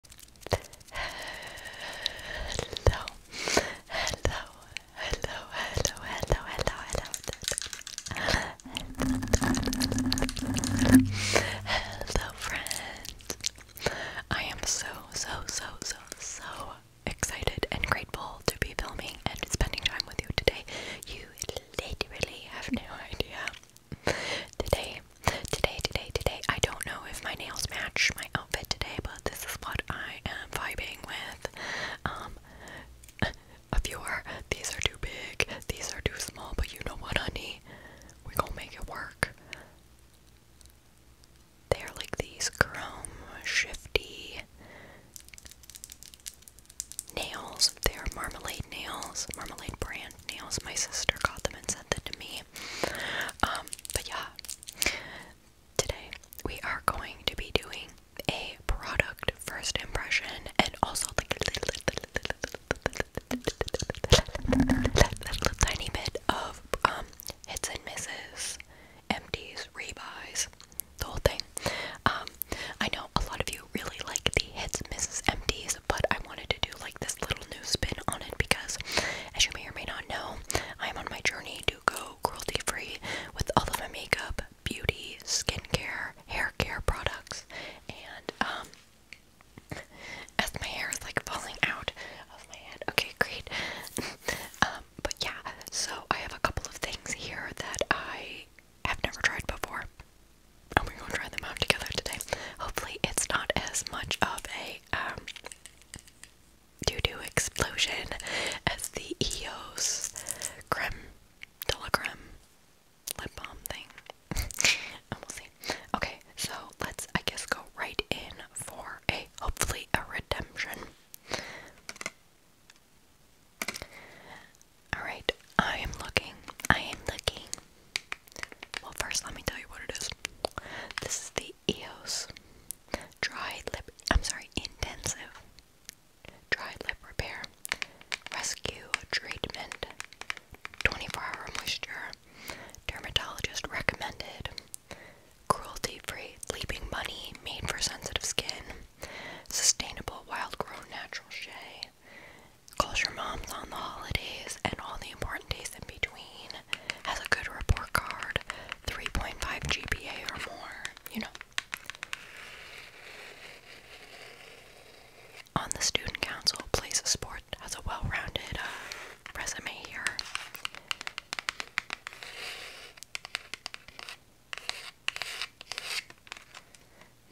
Hello, hello, hello, hello, hello, hello, hello, hello, friends. I am so, so, so, so, so excited and grateful to be filming and spending time with you today. You literally have no idea today. Today, today, today. I don't know if my nails match my outfit today, but this is what I am vibing with. Um, a viewer, these are too big, these are too small, but you know what, honey? we gonna make it work. They are like these chrome shifty nails. They are marmalade nails, marmalade brand nails. My sister got them and sent them to me. Um, but yeah, today we are going to be doing a product first impression and also like a tiny bit of um hits and misses, empties, rebuys, the whole thing. Um, I know a lot of you really like the hits, and misses, empties but I wanted to do like this little news spin on it because, as you may or may not know, I am on my journey to go cruelty free with all of my makeup, beauty, skincare, hair care products, and um, As my hair is like falling out of my head. Okay, great. Um, but yeah, so I have a couple of things here that I have never tried before. And we're gonna try them out together today. Hopefully, it's not as much of a um, due to explosion as the EOS creme de lip balm thing. and we'll see. Okay, so let's, I guess, go right in for a hopefully a redemption. Alright, I am looking. I am looking. Well, first, let me tell you what it is. This is the EOS Dry Lip, I'm sorry, Intensive Dry Lip Repair Rescue Treatment 24 Hour Moisture Dermatologist Recommended Cruelty Free Leaping Bunny Made for Sensitive Skin Sustainable Wild Grown Natural Shea calls your moms on the holidays and all the important days in between, has a good report card, 3.5 GPA or more, you know. On the student council, plays a sport, has a well rounded uh, resume here.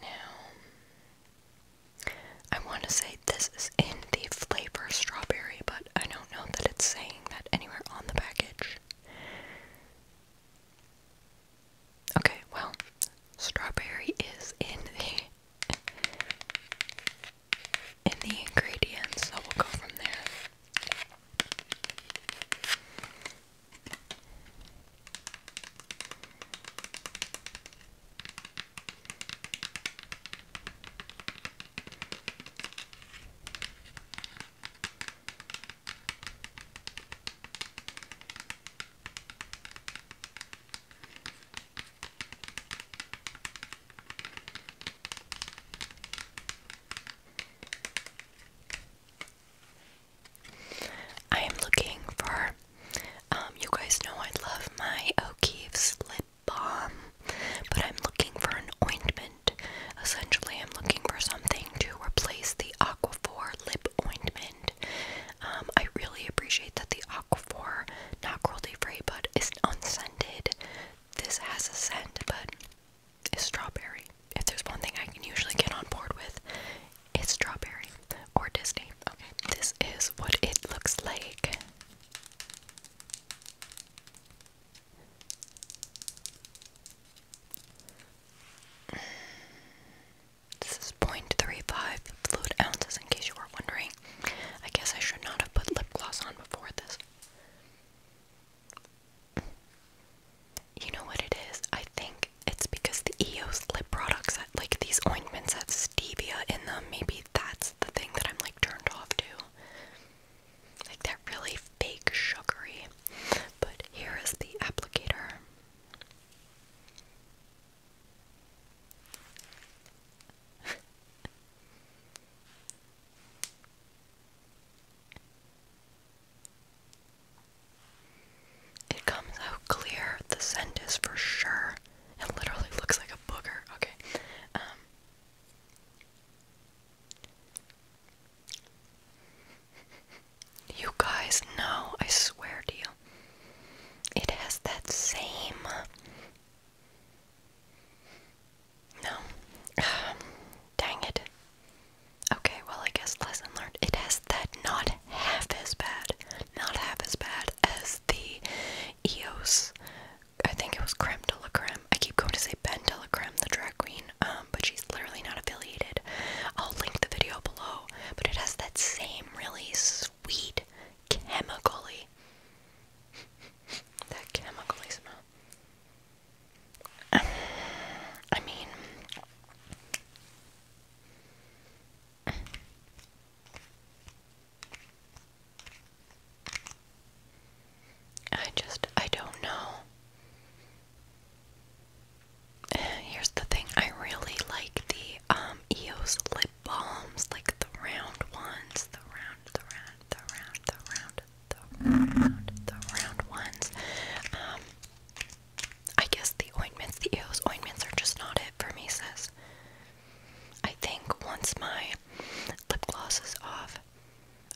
Now, I want to say this is in the flavor strawberry, but I don't know that it's saying that anywhere on the package. Okay, well, strawberry is in the in the ingredients, so we'll go from there. I am looking for um, you guys know I love my O'Keefe's lip balm, but I'm looking for an ointment. Essentially, I'm looking for something to replace the Aquaphor lip ointment. Um, I really appreciate that the Aquaphor, not cruelty free, but is unscented. This has a scent, but it's strawberry. If there's one thing I can usually get on board with, it's strawberry or Disney. Okay, this is what it looks like. This is 0.35 fluid ounces, in case you were wondering. I guess I should not have put lip gloss on before this. You know what it is? I think it's because the EOS lip products, have like these ointments, have stevia in them. Maybe that's the thing that I'm like turned off to. Like that really fake sugary. But here is the applicator. it comes out clear. The scent is for sure it literally looks like a booger. Okay. Um, you guys know, I swear to you. It has that same. No. Um, dang it. Okay, well, I guess lesson learned. It has that not half as bad, not half as bad as the Eos. I think it was Creme de la Creme. I keep going to say Ben de la Creme, the drag queen, um, but she's literally not affiliated. I'll link the video below, but it has that same really sweet, chemically, that chemically smell. I mean, I just, I don't know. Uh, here's the thing, I really like the um, EOS lip balms, like the round ones, the round, the round, the round, the round, the round, the round ones. Um, I guess the ointments, the EOS ointments are just not it for me, sis. I think once my lip gloss is off,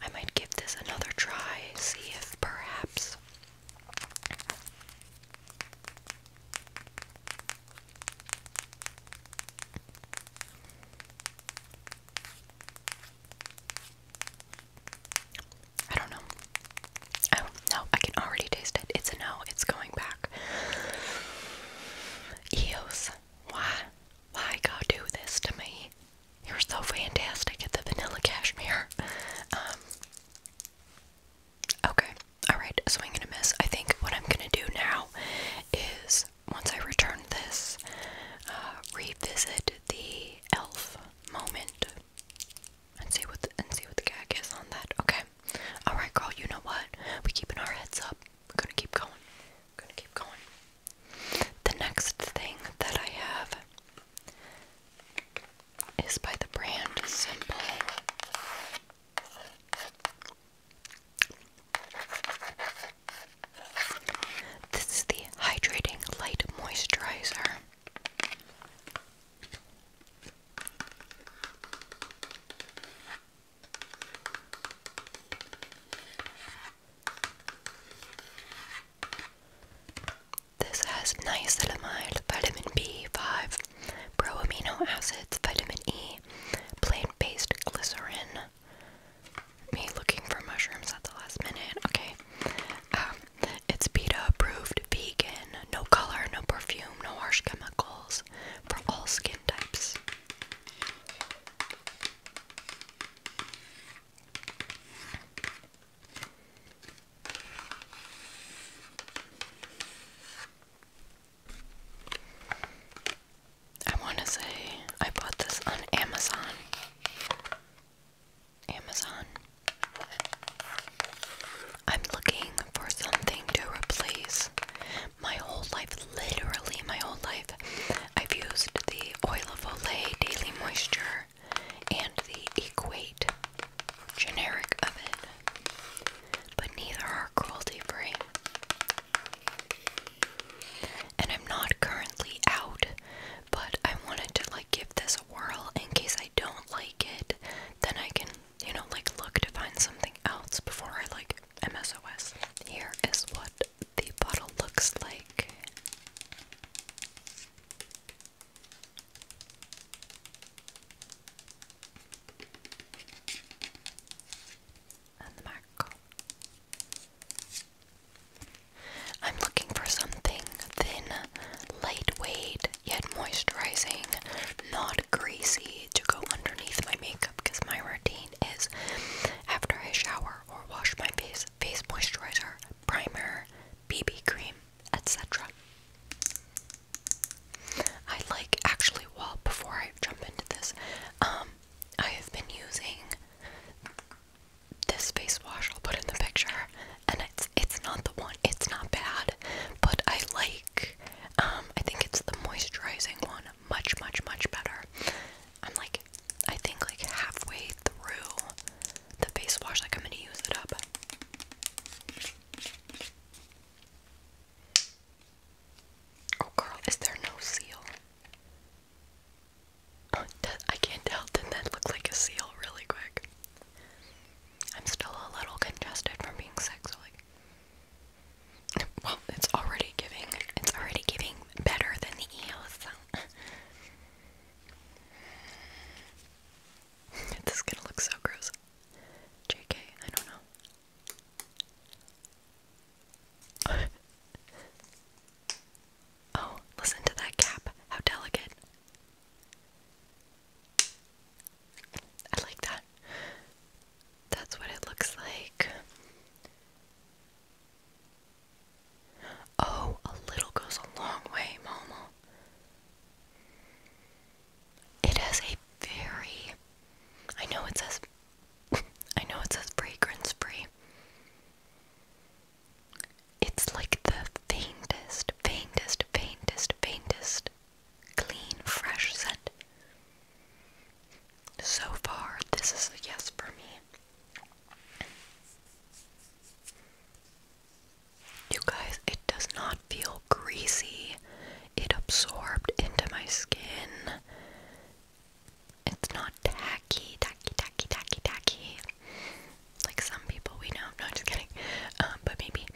I might give this another try, see if perhaps. I don't know. I do I can already taste it. It's a no. It's going back. Eos, why? Why God do this to me? You're so fantastic at the vanilla cashmere. Um, okay, alright, so I'm gonna miss. I think what I'm gonna do now is once I return this, uh, revisit the elf moment and see what and see what the gag is on that. Okay, Alright, girl, you know what? We're keeping our heads up. We're gonna keep going. We're gonna keep going. The next thing that I have is by the brand Simple. This is the Hydrating Light Moisturizer. This has niacinamide, vitamin B5, pro amino acids, vitamin E, plant based glycerin. Me looking for mushrooms at the last minute. Okay. Um, it's PETA approved, vegan, no color, no perfume, no harsh chemicals, for all skin types. I want to say I bought this on Amazon. Amazon. I'm looking for something to replace. My whole life, literally my whole life, I've used the Oil of Olay Daily Moisture and the Equate generic of it, but neither are cruelty free. And I'm not currently out, but I wanted to like give this a whirl in case I don't like it, then I can you know, like look to find something else before I like MSOS. Here is what the bottle looks like. And the mackerel. I'm looking for something thin, lightweight, yet moisturizing, not greasy to go underneath my makeup because my routine is after I shower or wash my face, face moisturizer, primer, BB cream, etc. I like actually well before I jump into this, um, I have been using this face wash I'll put in the picture and it's it's not the one it's not bad but I like um, I think it's the moisturizing one much much much better. I'm like I think like halfway through the face wash like I'm going to use it up. Oh girl, is there no seal? Oh, that, I can't tell. did that look like a seal really quick? I'm still a little congested from being sick, so like well, it's already giving. It's already giving better than the EOS. this is gonna look so gross. JK, I don't know. oh, listen to that cap. How delicate. I like that. That's what it looks like. Oh, a little goes a long way, Momo. It has a very I know it says I know it says fragrance free. It's like the faintest, faintest, faintest, faintest clean, fresh scent. So far, this is a yes for me. You guys, it does not feel greasy. It absorbed into my skin. It's not tacky, tacky, tacky, tacky, tacky. Like some people we know. No, I'm just kidding. Um, but maybe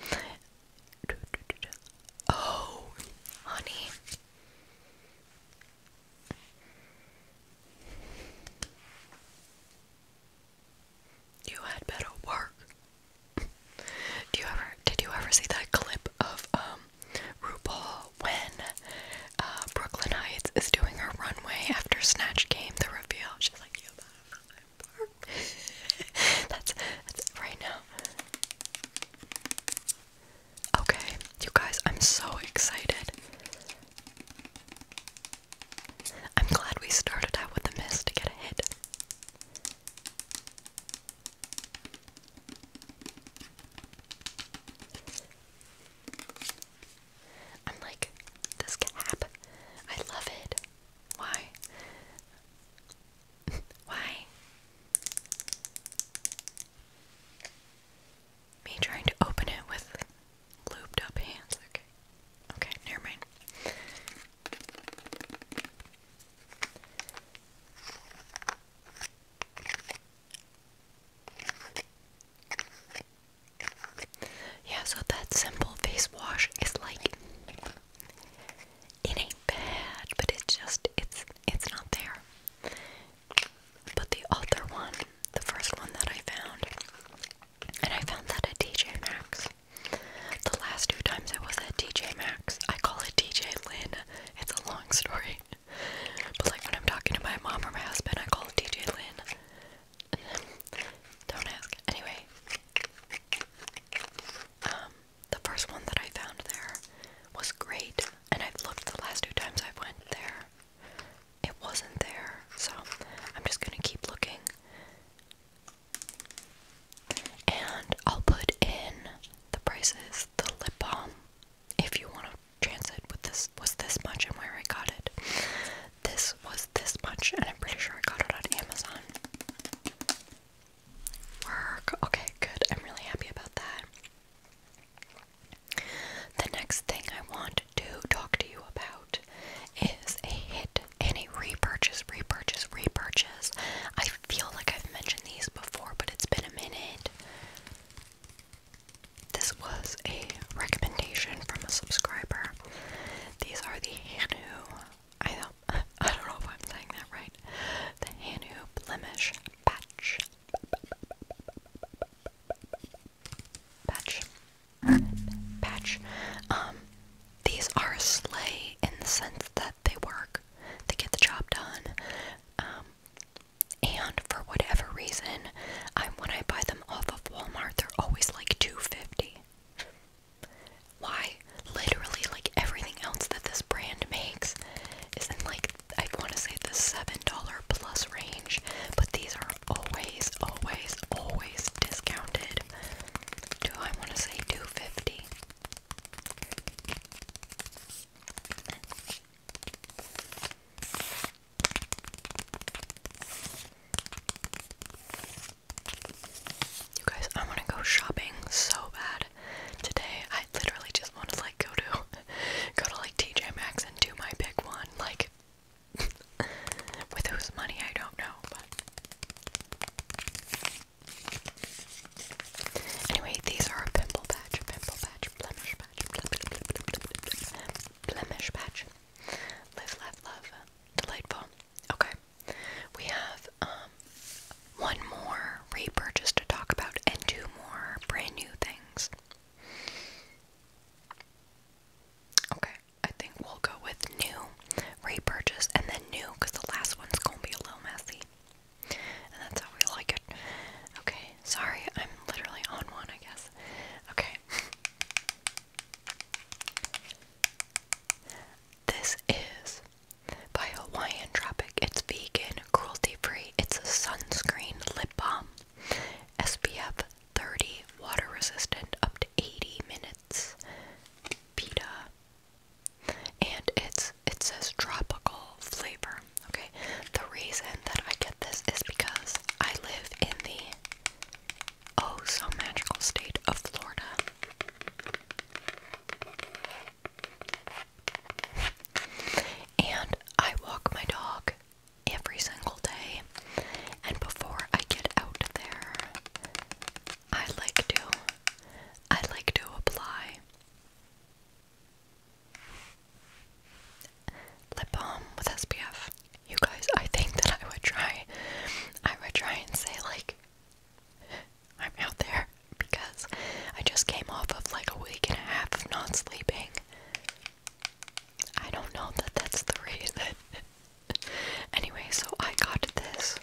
Oh, honey. You had better work. Do you ever did you ever see that clip of um, RuPaul when uh, Brooklyn Heights is doing her runway after Snatch Game the reveal? that's right now. Okay, you guys, I'm so excited. I'm glad we started out with a miss to get a hit. I'm like, this cap, I love it. Why? Why? Me trying to open it with lubed up hands. Okay. Okay, never Yeah, so that simple face wash is like it ain't bad, but it's just it's it's not there. But the other one, the first one that I found, and I found that at D J Max. The last two times I was at D J Max, I call it D J Lynn. It's a long story. But like when I'm talking to my mom or my husband, I call it D J Lynn. Don't ask. Anyway, um, the first one that I found there was great, and I've looked the last two times I went there. It wasn't there, so I'm just gonna keep looking. And I'll put in the prices, the lip balm, if you want to chance it with this was this much and where I got it. This was this much, and I'm pretty sure I got it on Amazon. Work. Okay, good. I'm really happy about that. The next thing I want to talk to you about is a hit and repurchase, repurchase, repurchase. I feel like I've mentioned these before, but it's been a minute. This was a recommendation from a subscriber. These are the Hanu I don't, I don't know if I'm saying that right. The Hanu Blemish Patch. Patch. Patch. Um, these are a sleigh in the sense that they work, they get the job done. Um, and for whatever reason, I when I buy them off of Walmart, they're always like two fifty. Why? Literally, like everything else that this brand makes is in like I want to say the seven dollar plus range, but these are always, always, always discounted. Do I want to say two fifty? You guys, I want to go shopping so bad today. I literally just want to like go to go to like TJ Maxx and do my big one, like with whose money I don't know. But anyway, these are a pimple patch, pimple patch, blemish patch, blemish patch. Live, laugh, love, delightful. Okay. We have um, one more repurchase to talk about and two more brand new things. Okay, I think we'll go with new, repurchase, and then new because the last one's gonna be a little messy. And that's how we like it. Okay, sorry, I'm literally on one, I guess. Okay. This is by Hawaiian Tropic. It's vegan, cruelty free. It's a sunscreen lip balm. SPF 30, water resistant, up to 80 minutes. Pita. And it's it says tropical flavor. Okay. The reason that I get this is because I live in the oh so magical state of Florida. And I walk my dog every single day. And before I get out there, I like to I like to apply lip balm with SPF. You guys, I think that I would try I would try and say like I'm out there because I just came off of like a week and a half of not sleeping. I don't know that that's the reason. anyway, so I got this.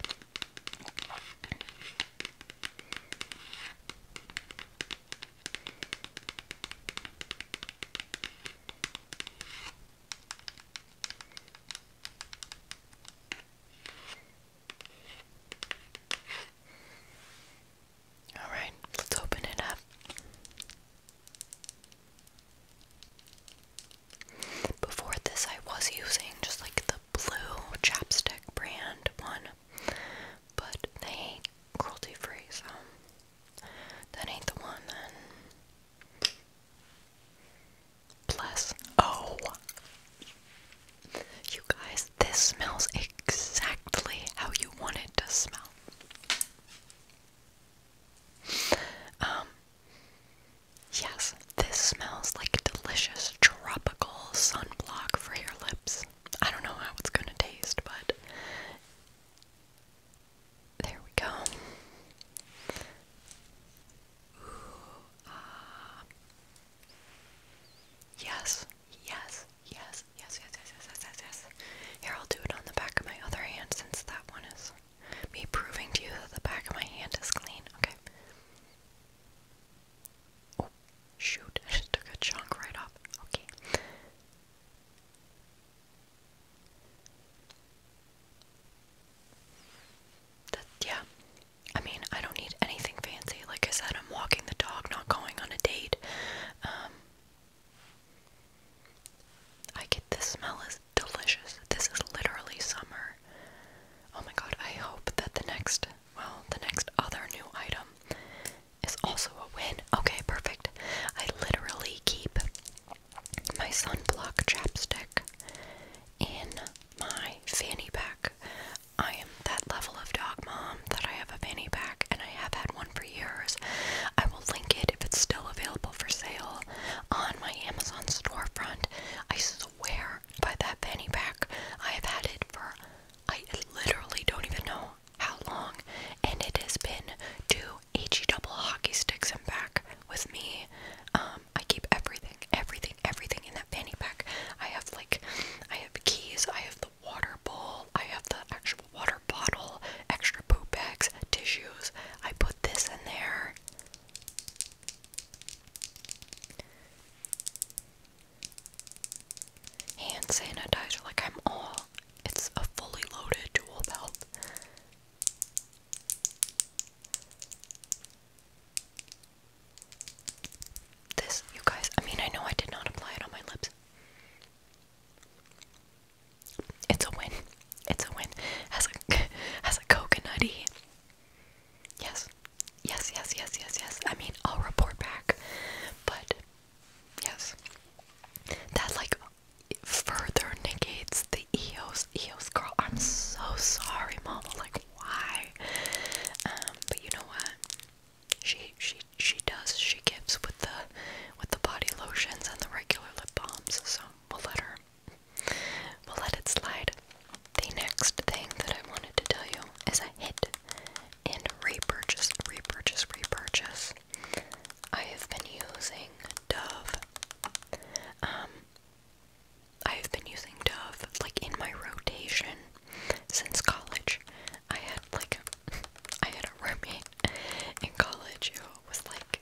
All right, let's open it up. Before this, I was using just like the blue chapstick brand one, but they ain't cruelty free, so that ain't the one then plus O. Oh. You guys, this smells exactly how you want it to smell. Um, yes, this smells like delicious tropical sunblock for your lips. I don't know how it's gonna taste, but there we go. Ah. Yes, yes, yes, yes, yes, yes, yes, yes, yes. Here, I'll do it on the back of my other hand since that one is me proving to you that the back of my hand is clean. Okay. Oh, shoot. I just took a chunk right off. Okay yeah. I mean, I don't need anything fancy. Like I said, I'm walking the dog, not going on a date. Um, I get this smell is delicious. This is literally summer. Oh my god, I hope that the next, well, the next other new item is also a win. Okay, perfect. I literally keep my sunblock chapstick in my fanny pack. I am that level of dog mom that I have a fanny pack and I have had one for years. I will link it if it's still available for sale on my Amazon storefront. I swear by that fanny pack, I have had it for I literally don't even know how long and it has been two HE double hockey sticks in back with me. Um, I keep everything, everything, everything in that fanny pack. I have like, I have keys, I have the water bowl, I have the actual water bottle, extra poop bags, tissues. I put this in there. Hand sanitizer, like I'm all, it's a fully loaded dual belt. This, you guys, I mean, I know I did not apply it on my lips. It's a win. It's a win. Has a has a coconutty. Yes. Yes, yes, yes, yes, yes. I mean, I'll report back. But yes. That like further negates the Eos Eos girl. I'm so sorry, Mama. Like why? Um, but you know what? She she she does. She gives with the with the body lotions and the regular lip balms. So we'll let her. We'll let it slide. The next thing that I wanted to tell you is I hit and repurchase, repurchase, repurchase. I have been using Dove. Um, I have been using Dove like in my rotation since college. I had like I had a roommate in college who was like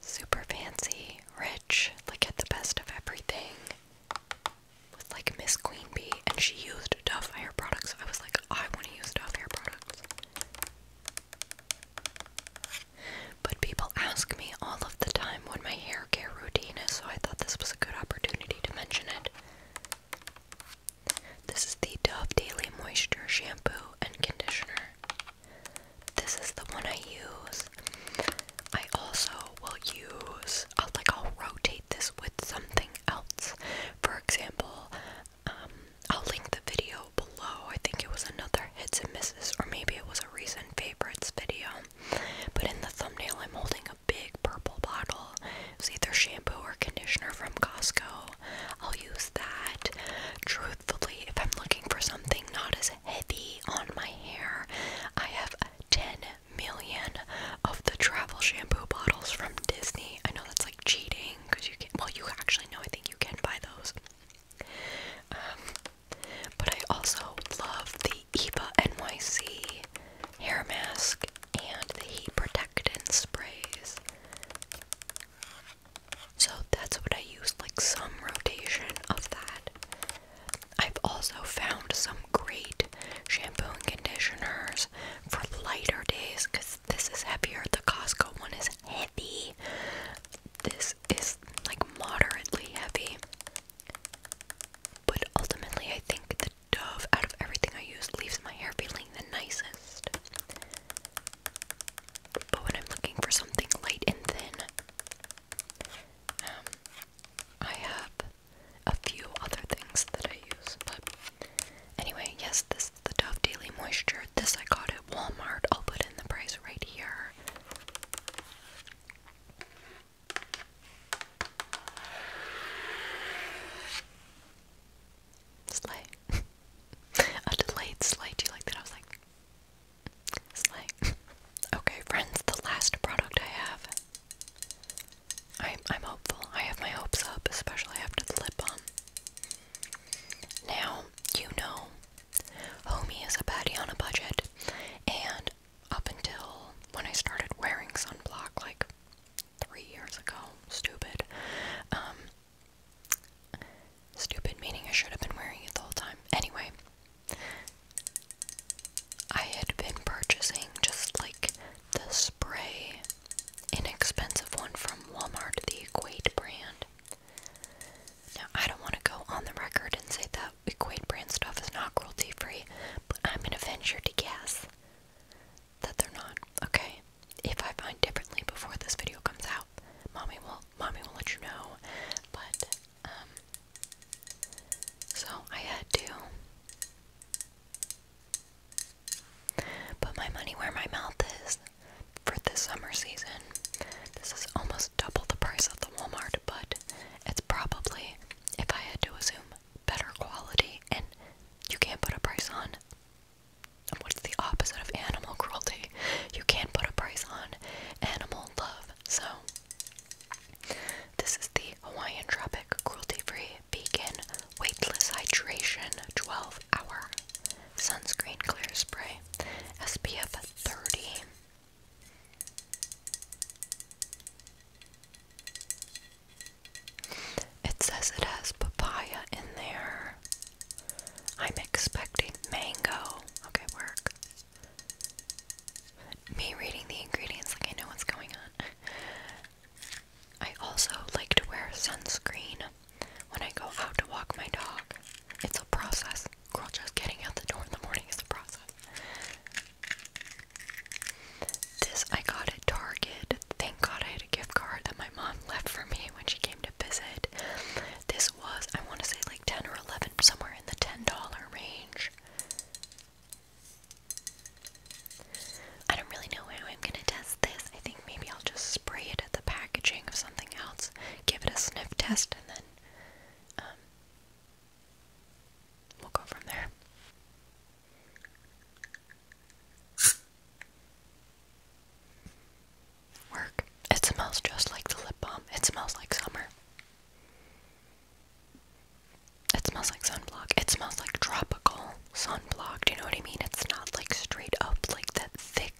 super fancy, rich, like had the best of everything. With like Miss Queen Bee and she used Dove hair products. I was like, I want to use Dove hair products. But people ask me all of the time what my hair care routine is, so I thought this was a good opportunity to mention it. This is the Dove Daily Moisture Shampoo and Conditioner. This is the one I use. I also will use, I'll, like, I'll rotate this with something else. For example, um, I'll link the video below. I think it was another hits and misses, or maybe it was a recent favorites video. But in the thumbnail, I'm holding a big purple bottle. It's either shampoo or conditioner from Costco. I'll use that. Truthfully, if I'm looking for something not as heavy on my hair, I have 10 million of the travel shampoo bottles from Disney. I know that's like cheating because you can. Well, you actually know. I think you can buy those. Um, but I also love the Eva NYC hair mask and the heat protectant sprays. So that's what I use, like some rotation of that. I've also found some great shampoo and conditioners for lighter days because this is heavier. The Costco one is heavy. This is like moderately heavy. But ultimately, I think the Dove out of everything I use leaves my hair feeling the nicest. But when I'm looking for something light and thin, um, I have a few other things that I use. But anyway, yes, this is the Dove Daily Moisture this. I got at Walmart. I'll put in the price right here. Slay. A delayed slay. Do you like that? I was like, slay. okay, friends, the last product I have. I'm, I'm hopeful. I have my hopes up, especially after the lip balm. Now, you know, homie is a baddie on a budget, and up until when I started wearing sunblock like three years ago, stupid. Um, stupid meaning I should have been wearing it the whole time. Anyway, I had been purchasing just like the spray, inexpensive one from Walmart, the Equate brand. Now, I don't want to go on the record and say that Equate brand stuff is not cruelty free, but I'm going to venture to guess that they're not, okay? If I find differently before this video comes out, mommy will mommy will let you know. But um so I had to put my money where my mouth is for this summer season. This is almost double the price of the Walmart, but it's probably, if I had to assume, better quality, and you can't put a price on what's the opposite of animal cruelty. You can't put a price on animal love. So, this is the Hawaiian Tropic Cruelty Free Vegan Weightless Hydration 12 Hour. Sunscreen Clear Spray SPF 30. It says it has papaya in there. I'm expecting mango. Okay, work. Me reading the ingredients like I know what's going on. I also like to wear sunscreen when I go out to walk my dog. It's a process. Girl, just getting out the door in the morning is a process. This I got at Target. Thank God I had a gift card that my mom left for me when she came to visit. This was, I want to say, like 10 or 11, somewhere in the $10 range. I don't really know how I'm gonna test I think maybe I'll just spray it at the packaging of something else, give it a sniff test, and then um, we'll go from there. Work. It smells just like the lip balm. It smells like summer. It smells like sunblock. It smells like tropical sunblock. Do you know what I mean? It's not like straight up like that thick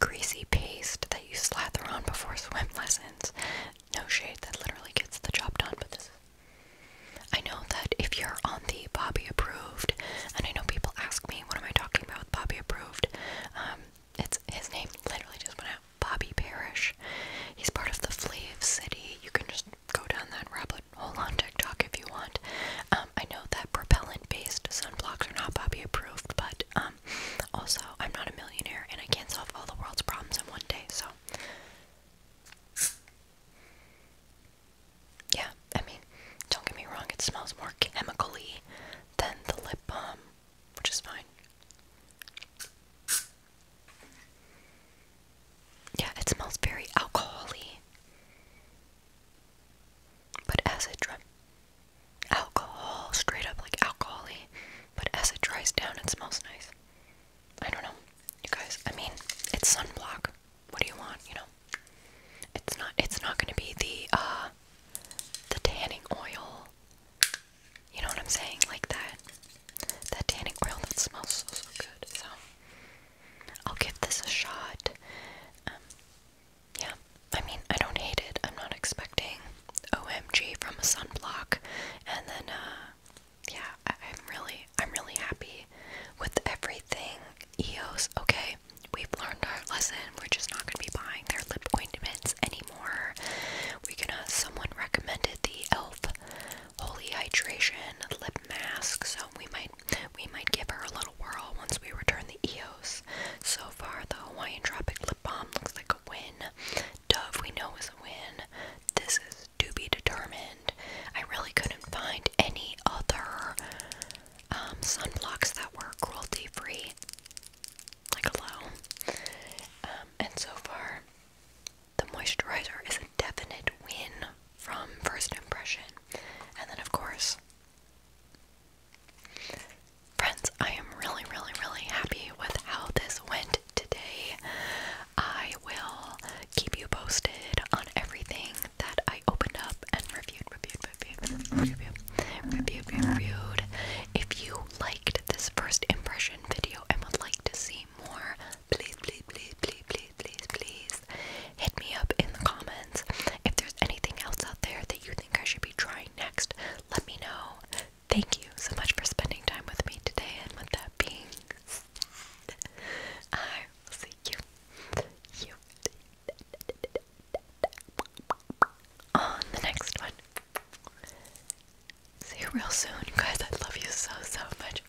greasy paste that you slather on before swim lessons. No shade, that literally gets the job done, but this I know that if you're on the Bobby approved, and I know people ask me, what am I talking about with Bobby approved? Um, it's his name literally just went out. Bobby Parrish. He's part of the Flave City. You can just go down that rabbit hole on TikTok if you want. Um, I know that propellant-based sunblocks are not Bobby approved, but um, also I'm not a millionaire and I can't solve all the world's problems in one day. So, yeah, I mean, don't get me wrong; it smells more chemically than the lip balm, which is fine. Yeah, it smells very alcoholy. But as it dries, alcohol, straight up like alcoholy, but as it dries down, it smells nice. I don't know, you guys. I mean, it's sunblock. What do you want? You know, it's not. It's not going to be the uh, the tanning oil. You know what I'm saying? Like that, that tanning oil that smells so so good. So I'll give this a shot. Um, yeah, I mean, I don't hate it. I'm not expecting OMG from a sunblock. And then, uh, yeah, I am really, I'm really happy with everything EOS. Okay, we've learned our lesson. We're just not gonna be buying their lip ointments anymore. We're gonna. Someone recommended the Elf Holy Hydration Lip Mask, so we might we might give her a little whirl once we return the Eos. So far, the Hawaiian Tropic Lip Balm looks like a win. Dove, we know, is a win. This is to be determined. I really couldn't find any other um, sunblocks that were cruelty free, like hello. Um, and so far, the moisturizer is a definite win from first impression. And then, of course, Friends, I am really, really, really happy with how this went today. I will keep you posted on everything that I opened up and reviewed, reviewed, reviewed, reviewed, reviewed, reviewed. If you liked this first impression video and would like to see more, please, please, please, please, please, please, please hit me up in the comments. If there's anything else out there that you think I should be trying next, let me know. Thank you so much for spending time with me today, and with that being said, I will see you, on the next one. See you real soon, guys. I love you so, so much.